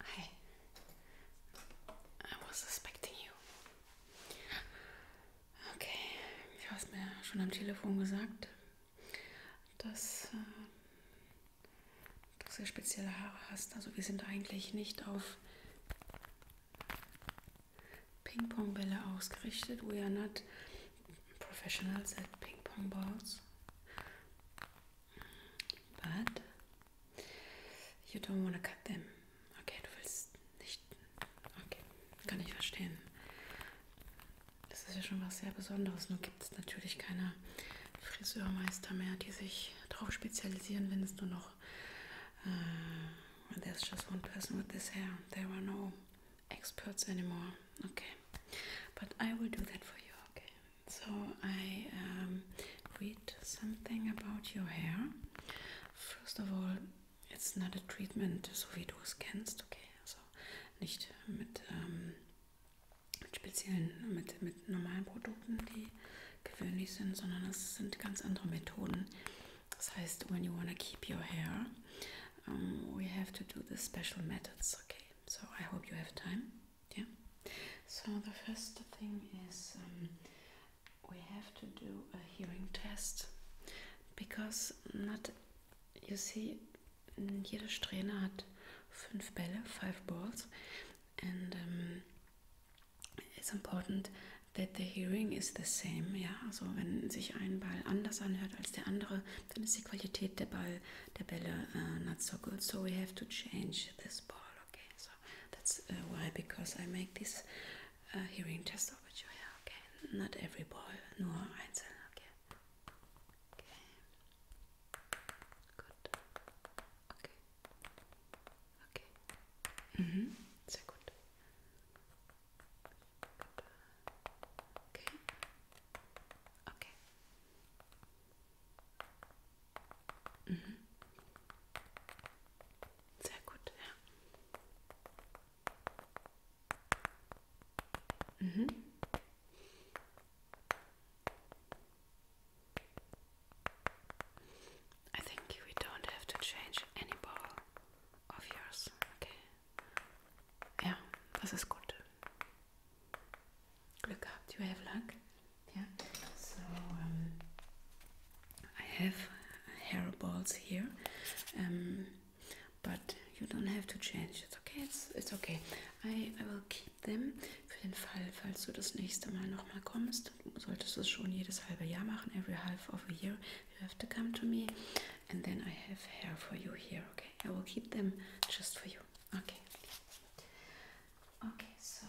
Hi. I was suspecting you. Okay, du hast mir schon am Telefon gesagt, dass äh, du sehr spezielle Haare hast. Also wir sind eigentlich nicht auf Ping-Pong-Bälle ausgerichtet. We are not professionals at ping-pong balls. But you don't want to cut them. Okay, du willst nicht. Okay, kann ich verstehen. Das ist ja schon was sehr Besonderes. Nur gibt es natürlich keine Friseurmeister mehr, die sich darauf spezialisieren, wenn es nur noch Uh, there's just one person with this hair. There are no experts anymore. Okay, but I will do that for you. Okay, so I um, read something about your hair. First of all, it's not a treatment, so we do es kennst. Okay, also nicht mit ähm, mit speziellen mit mit normalen Produkten, die gewöhnlich sind, sondern es sind ganz andere Methoden. Das heißt, when you want to keep your hair, um, we have to do the special methods. Okay, so I hope you have time. Yeah. So the first thing is um, we have to do a hearing test because not you see jede Strähne hat fünf Bälle, five balls, and um, it's important that the hearing is the same. Ja, also wenn sich ein Ball anders anhört als der andere, dann ist die Qualität der Ball, der Bälle uh, not so good. So we have to change this ball. Okay, so that's uh, why because I make this uh, hearing test over you. Yeah, okay, not every ball, nur einzeln. Okay, okay, good. Okay. Okay. Mhm. Sehr gut. Okay. Okay. Mhm. Sehr gut, ja. Mhm. I think we don't have to change any ball of yours, okay? Ja, das ist gut. Glück gehabt, you have luck. Yeah. So um, I have hair balls here, um, but you don't have to change It's Okay, it's it's okay. I I will keep Denn für den Fall, falls du das nächste Mal nochmal kommst, solltest du es schon jedes halbe Jahr machen, every half of a year, you have to come to me and then I have hair for you here, okay? I will keep them just for you, okay? Okay, so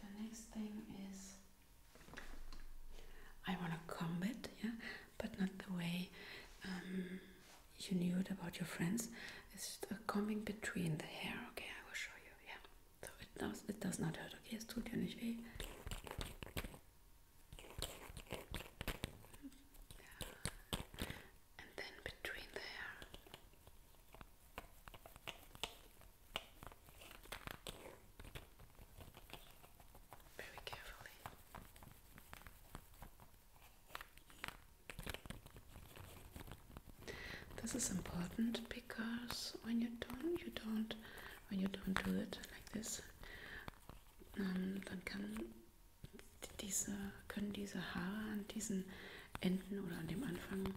the next thing is I want to comb it, yeah, but not the way um, you knew it about your friends. It's a combing between the hair, okay? I will show you, yeah. So, it does, it does not hurt, okay? Es tut ja nicht weh. Yeah. And then between the hair. Very carefully. This is important because when you don't, you don't, when you don't do it like this, um, ähm, dann kann diese, können diese Haare an diesen Enden oder an dem Anfang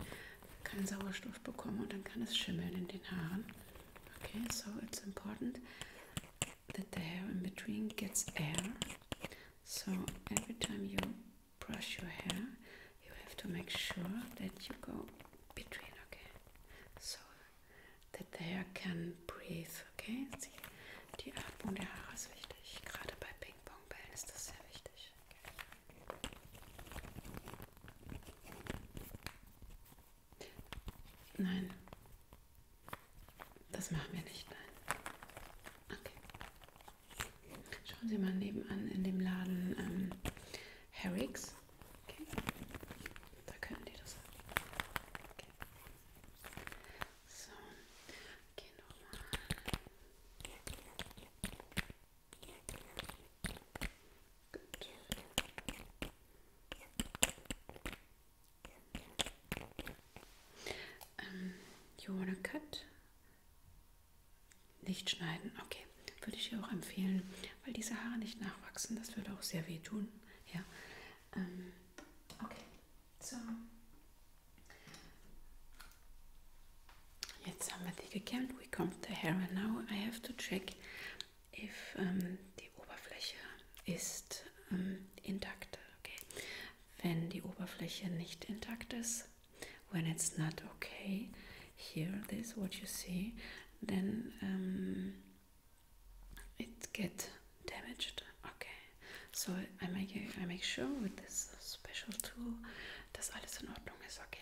keinen Sauerstoff bekommen und dann kann es schimmeln in den Haaren. Okay, so it's important that the hair in between gets air. So every time you brush your hair, you have to make sure that you go between, okay? So that the hair can breathe, okay? See, die Atmung der Haare ist wichtig. Gerade bei Ping-Pong-Bällen ist das sehr wichtig. Okay? Nein, das machen wir nicht, nein. Okay. Schauen Sie mal nebenan in dem Laden ähm, Herricks. Okay. Da können die das haben. Okay. So, geh nochmal. Gut. Um, ähm, you want a cut? Nicht schneiden, okay. Würde ich dir auch empfehlen, weil diese Haare nicht nachwachsen. Das würde auch sehr weh tun. Ja. Ähm, okay. So. Jetzt haben wir die gekämmt. We come to hair and now I have to check if ähm, die Oberfläche ist ähm, intakt. Okay. Wenn die Oberfläche nicht intakt ist, when it's not okay here this what you see then um, it get damaged okay so I make I make sure with this special tool dass alles in Ordnung is Okay.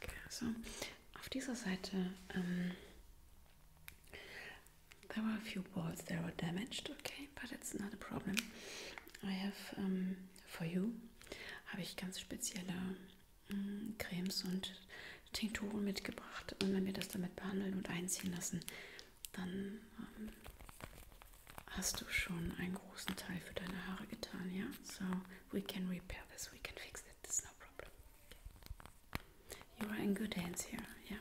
Okay, also auf dieser Seite, um, ähm, there were a few balls that were damaged, okay, but it's not a problem. I have um, for you habe ich ganz spezielle um, mm, Cremes und Tinkturen mitgebracht und wenn wir das damit behandeln und einziehen lassen, dann um, ähm, hast du schon einen großen Teil für deine Haare getan, ja? So we can repair this, we can fix it, There's no problem. You are in good hands here, yeah.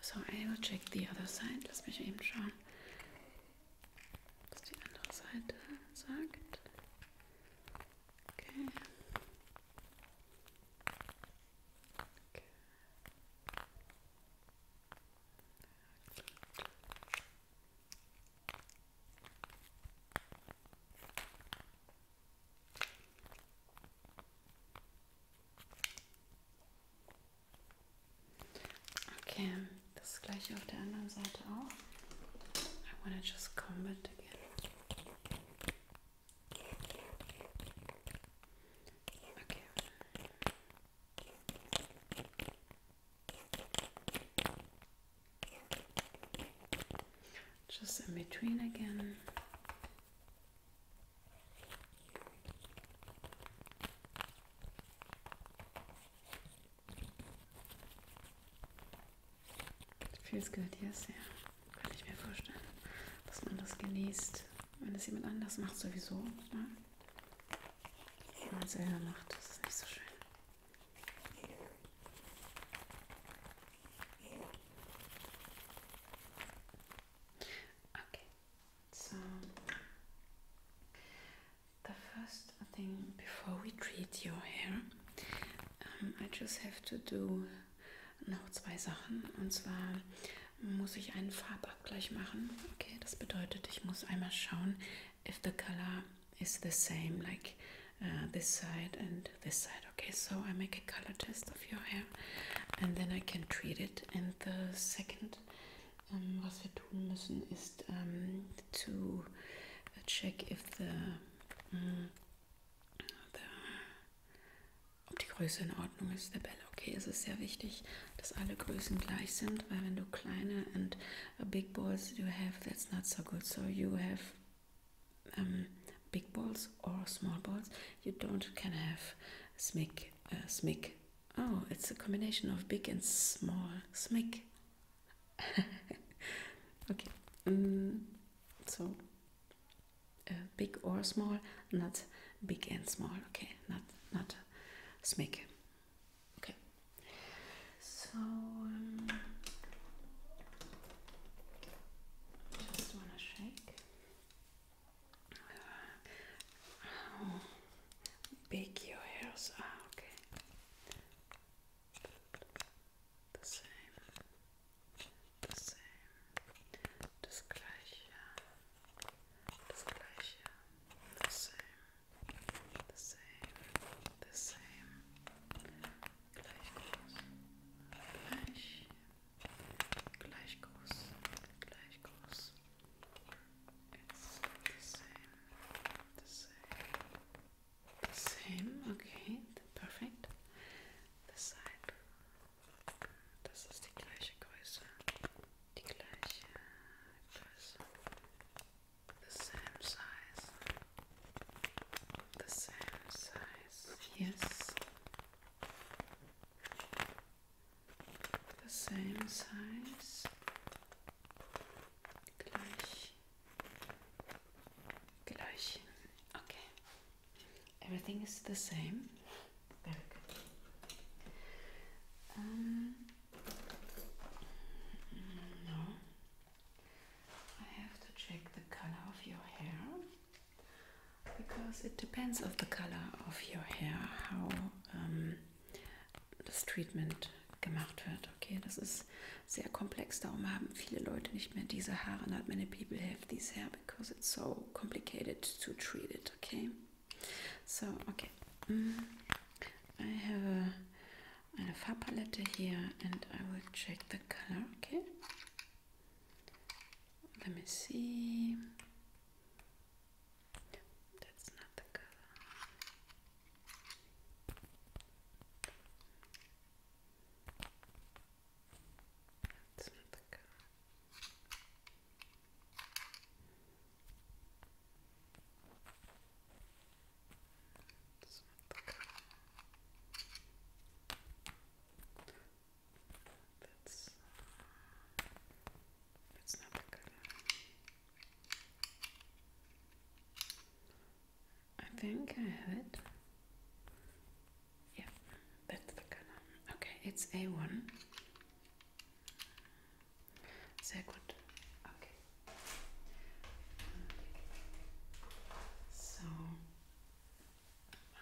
So I will check the other side. Let's eben schauen, was die andere Seite sagt. Okay. okay. Okay, das gleiche auf der anderen Seite auch. I wanna just comb it again. Okay. Just in between again. Feels good, yes, ja. Kann ich mir vorstellen, dass man das genießt. Wenn es jemand anders macht, sowieso. Ne? Wenn man es selber macht, das ist nicht so schön. Okay, so the first thing before we treat your hair, um, I just have to do noch zwei Sachen. Und zwar muss ich einen Farbabgleich machen. Okay, das bedeutet, ich muss einmal schauen, if the color is the same like uh, this side and this side okay so I make a color test of your hair and then I can treat it and the second um, was wir tun müssen ist um, to check if the, um, mm, the ob die Größe in Ordnung ist der Bälle okay es ist sehr wichtig dass alle Größen gleich sind weil wenn du kleine und A big balls you have that's not so good so you have um, big balls or small balls you don't can have smic uh, smic oh it's a combination of big and small smic okay mm, so uh, big or small not big and small okay not not smic Okay. So um, just wanna shake. how uh, big your hairs are? Ah, okay. The same. The same. Das gleiche. Das gleiche. The same. The same, the same. Gleich groß. Gleich. Gleich groß. Gleich groß. It's the same. The same. The same. Okay. Perfect. The side. Das ist die gleiche Größe. Die gleiche Größe. the same size, the same size, yes, the same size, gleich, gleich, okay, everything is the same, very good. Um, No. I have to check the color of your hair because it depends on the color of your hair, how um, das Treatment gemacht wird. Okay, das ist sehr komplex, darum haben viele Leute nicht mehr diese Haare. Not many people have these hair because it's so complicated to treat it. Okay, so okay, mm. I have a and a far palette here and I will check the color, okay? Let me see. That's not the color. That's not the color. That's that's not a good I think I had. Yeah, that's the color. Okay, it's A1. Sehr gut. Okay. So,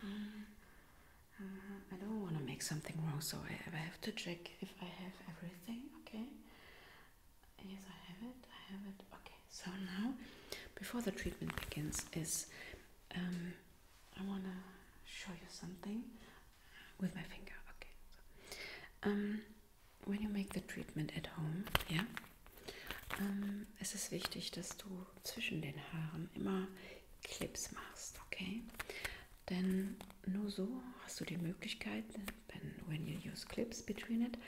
uh, I don't want to make something wrong, so I have to check if I have everything. Okay. Yes, I have it. I have it. Okay. So now, before the treatment begins, is um, I wanna show you something with my finger. Okay. um. when you make the treatment at home, ja, ähm, es ist wichtig, dass du zwischen den Haaren immer Clips machst, okay? Denn nur so hast du die Möglichkeit, when, when you use clips between it,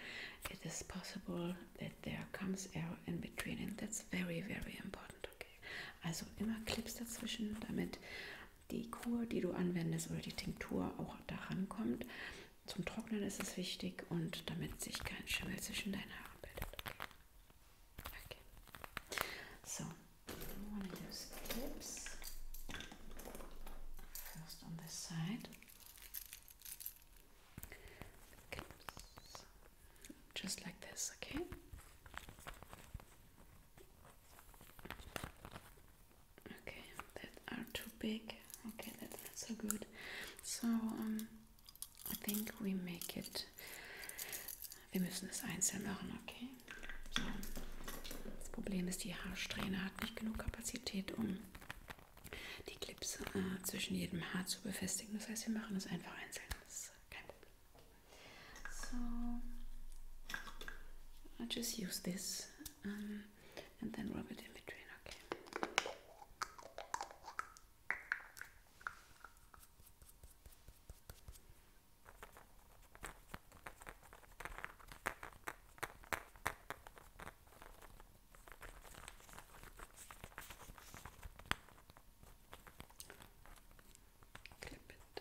it is possible that there comes air in between and that's very, very important, okay? Also immer Clips dazwischen, damit die Kur, die du anwendest oder die Tinktur auch daran kommt zum Trocknen ist es wichtig und damit sich kein Schimmel zwischen deinen Haaren bildet. Okay. okay. So, I'm going to use clips. First on this side. Clips. Just like this, okay? Okay, that are too big. Okay, that's not so good. So, um, I think we make it. Wir müssen es einzeln machen, okay? So. Das Problem ist, die Haarsträhne hat nicht genug Kapazität, um die Clips äh, zwischen jedem Haar zu befestigen. Das heißt, wir machen es einfach einzeln. Das ist kein Problem. So, I just use this. Um, and then rub it in between, okay? Clip it.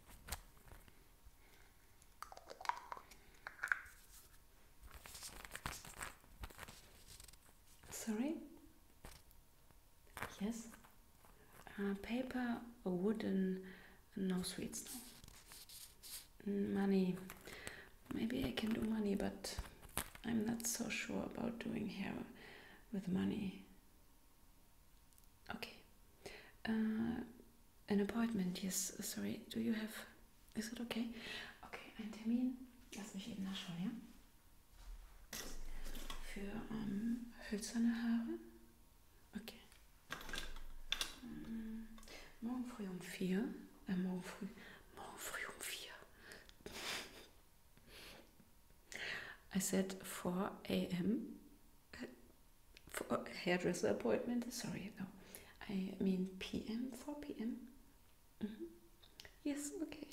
Sorry? Yes? Uh, paper, wooden, no sweets. Money. Maybe I can do money, but I'm not so sure about doing hair with money. Okay. Uh, an appointment, yes. Sorry, do you have. Is it okay? Okay, ein Termin. Lass mich eben nachschauen, ja? Für ähm, hölzerne Haare. Okay. Mm, morgen früh um vier. Äh, morgen früh. Morgen früh um vier. I said 4 a.m. Uh, for hairdresser appointment. Sorry, no. I mean p.m. 4 p.m. Mm-hmm. Yes, okay.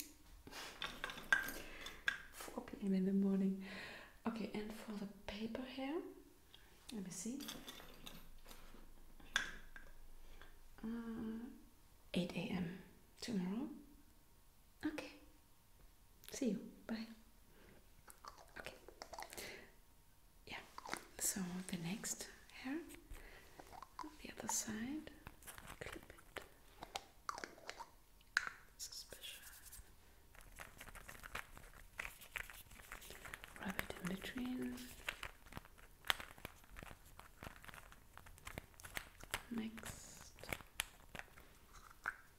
4 p.m. in the morning. Okay, and for the paper hair, let me see. Uh, 8 a.m. tomorrow. Okay, See you. Bye. Okay. Yeah. So the next hair, the other side, clip it. It's special. Rub it in between. Next.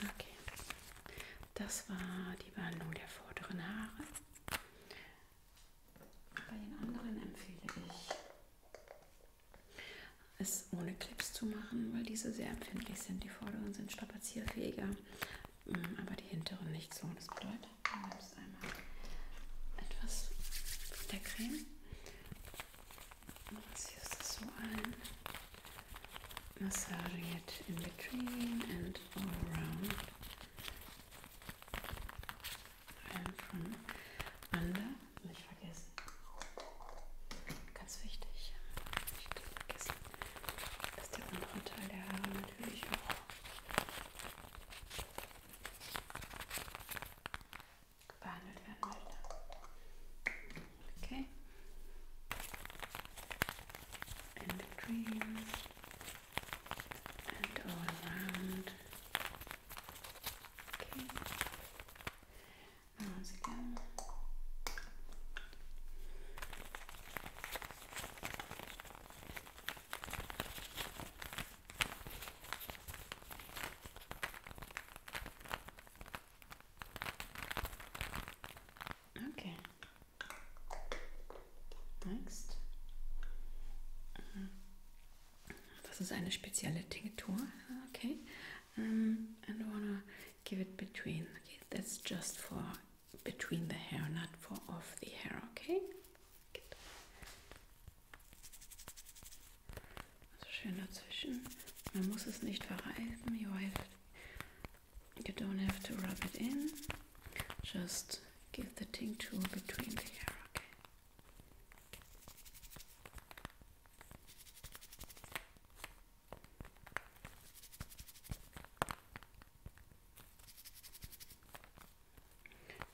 Okay, das war die Behandlung der vorderen Haare. Bei den anderen empfehle ich, es ohne Clips zu machen, weil diese sehr empfindlich sind. Die vorderen sind strapazierfähiger, mm, aber die hinteren nicht so. Das bedeutet, du nimmst einmal etwas von der Creme Let's use this one. Massaging it in between and all around. And from under. Nicht vergessen. Ganz wichtig. Nicht vergessen, dass der untere Teil der Haare natürlich auch behandelt werden möchte. and all around. Okay. once again. Okay. Okay. Next. Das ist eine spezielle Tinktur. Okay. Um, and wanna give it between. Okay, that's just for between the hair, not for off the hair. Okay. Good. Also schön dazwischen. Man muss es nicht verreiben. You, have, you don't have to rub it in. Just give the tincture between the hair.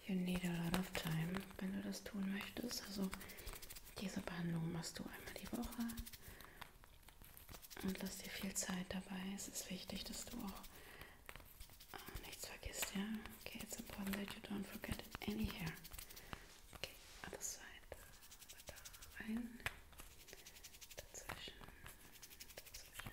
You need a lot of time, wenn du das tun möchtest. Also diese Behandlung machst du einmal die Woche. Und lass dir viel Zeit dabei. Es ist wichtig, dass du auch äh, nichts vergisst, ja? Okay, it's important that you don't forget any hair. Okay, other side. Da rein. Dazwischen. Dazwischen.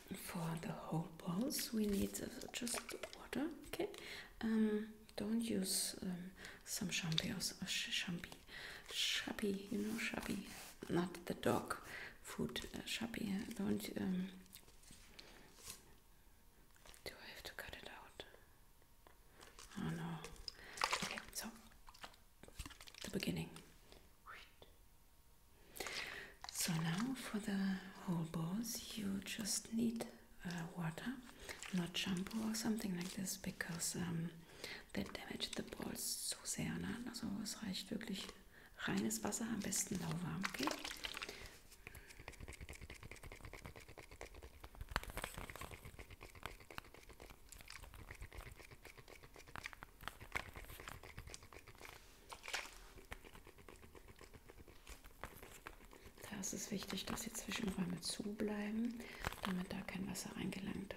for the whole balls we need uh, just water okay um don't use um, some shampoos or champi shabby you know shabby not the dog food uh, shabby uh, don't um, do I have to cut it out oh no okay so the beginning So now for the whole balls, you just need uh, water, not shampoo or something like this, because um, they damage the balls so sehr. Ne? Also es reicht wirklich reines Wasser, am besten lauwarm, okay? Da ist es wichtig, dass die Zwischenräume zu bleiben, damit da kein Wasser reingelangt.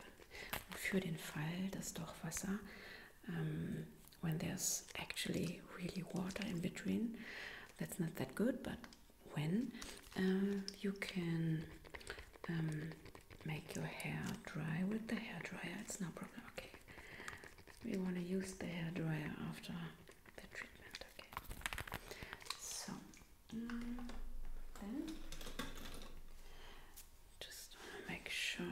Und für den Fall, dass doch Wasser, um, ähm, when there's actually really water in between, that's not that good, but when uh, you can um, make your hair dry with the hair dryer, it's no problem, okay. we want to use the hair dryer after the treatment. Okay, so mm, just want to make sure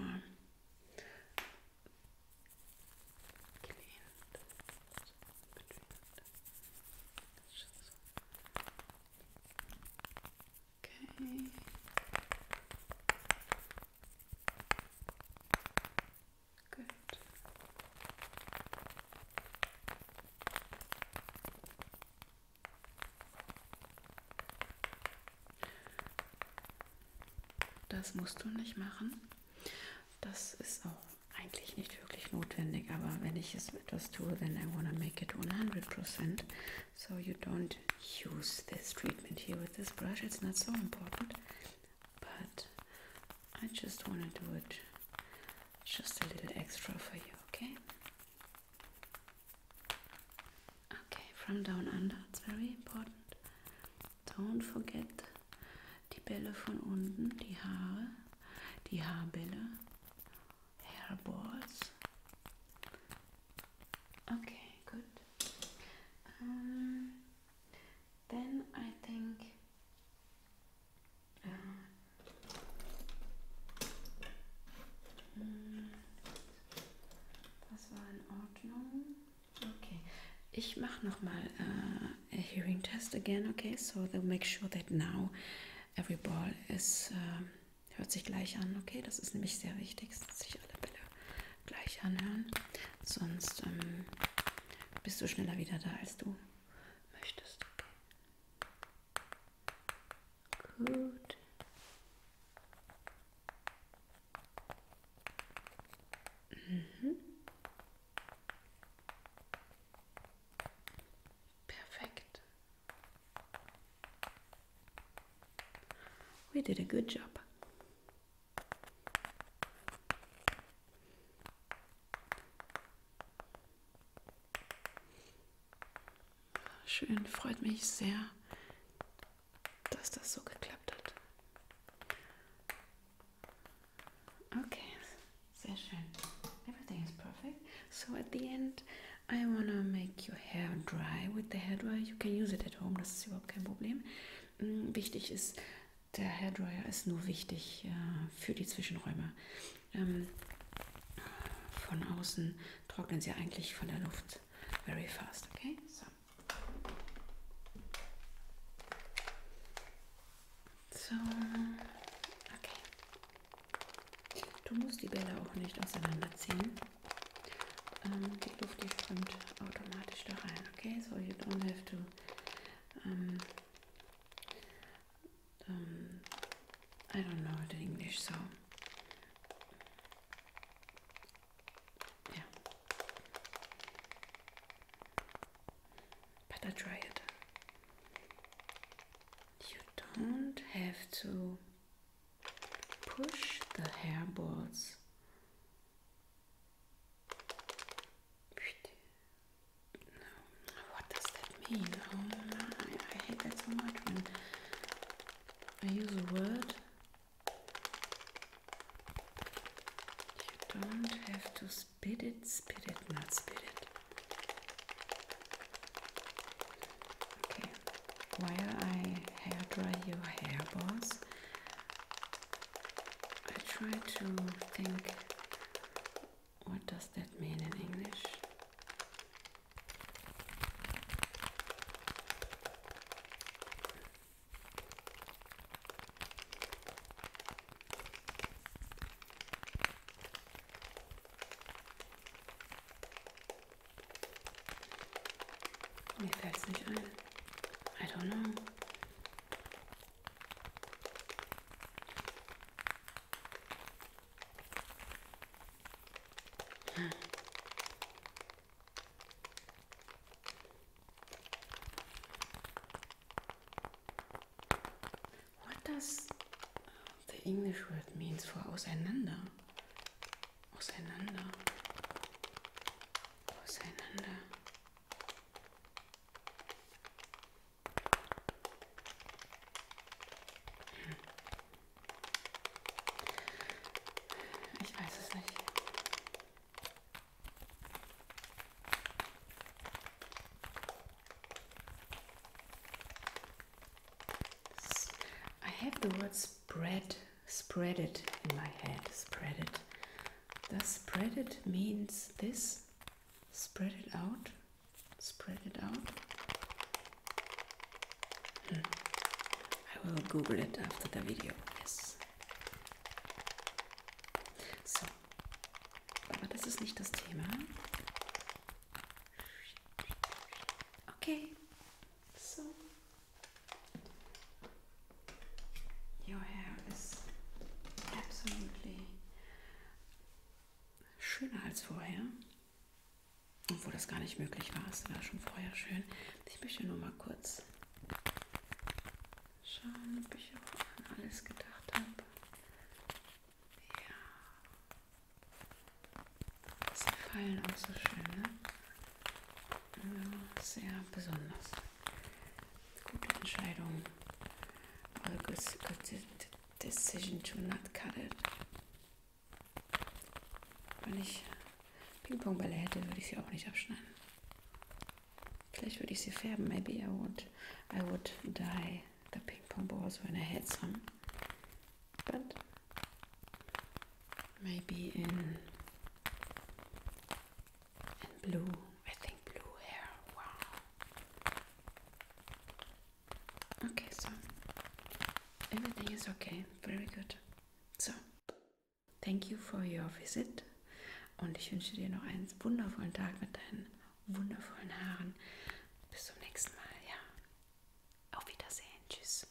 clean Okay. Gut. Das musst du nicht machen. Das ist auch eigentlich nicht wirklich notwendig, aber wenn ich es etwas tue, then I wanna make it 100%. so you don't use this treatment here with this brush it's not so important but I just want to do it just a little extra for you okay okay from down under it's very important don't forget the Bälle von unten die Haare die Haarbälle hairballs Okay, good. Um, uh, then I think uh, mm, das war in Ordnung. Okay, ich mache nochmal uh, äh, a hearing test again, okay? So they'll make sure that now every ball is, uh, hört sich gleich an, okay? Das ist nämlich sehr wichtig, dass sich alle Bälle gleich anhören. Sonst ähm, bist du schneller wieder da, als du möchtest. Gut. Mhm. Perfekt. We did a good job. Schön, freut mich sehr, dass das so geklappt hat. Okay, sehr schön. Everything is perfect. So at the end, I wanna make your hair dry with the hair dryer. You can use it at home. Das ist überhaupt kein Problem. Mm, wichtig ist, der Hairdryer ist nur wichtig äh, für die Zwischenräume. Ähm, von außen trocknen sie eigentlich von der Luft very fast, okay? So. so. Okay. Du musst die Bälle auch nicht auseinanderziehen. um, die Luft die strömt automatisch da rein. Okay, so you don't have to I don't know the English, so yeah. But I try it. You don't have to push the hairballs no, what does that mean? Oh my, I hate that so much when I use a word you don't have to spit it, spit it, not spit it okay, where I hair dry your hair, boss. I try to think what does that mean in English? Maybe that's the I don't know. What does the English word means for auseinander? auseinander, auseinander. Hm. Ich weiß es nicht. I have the words spread spread it in my head spread it does spread it means this spread it out spread it out hmm. I will google it after the video yes so aber das ist nicht das Thema okay so. Your hair is absolutely schöner als vorher. Obwohl das gar nicht möglich war, es war schon vorher schön. Ich möchte nur mal kurz schauen, ob ich auch an alles gedacht habe. Ja. Sie fallen auch so schön, ne? Sehr besonders. Gute Entscheidung. Or good, good decision to not cut it. Wenn ich Pingpongbälle hätte, würde ich sie auch nicht abschneiden. Vielleicht würde ich sie färben. Maybe I would, I would dye the ping pong balls when I had some. But Maybe in in blue. I think blue hair. Wow. Okay, so everything is okay. Very good. So, thank you for your visit. Und ich wünsche dir noch einen wundervollen Tag mit deinen wundervollen Haaren. Bis zum nächsten Mal. Ja. Auf Wiedersehen. Tschüss.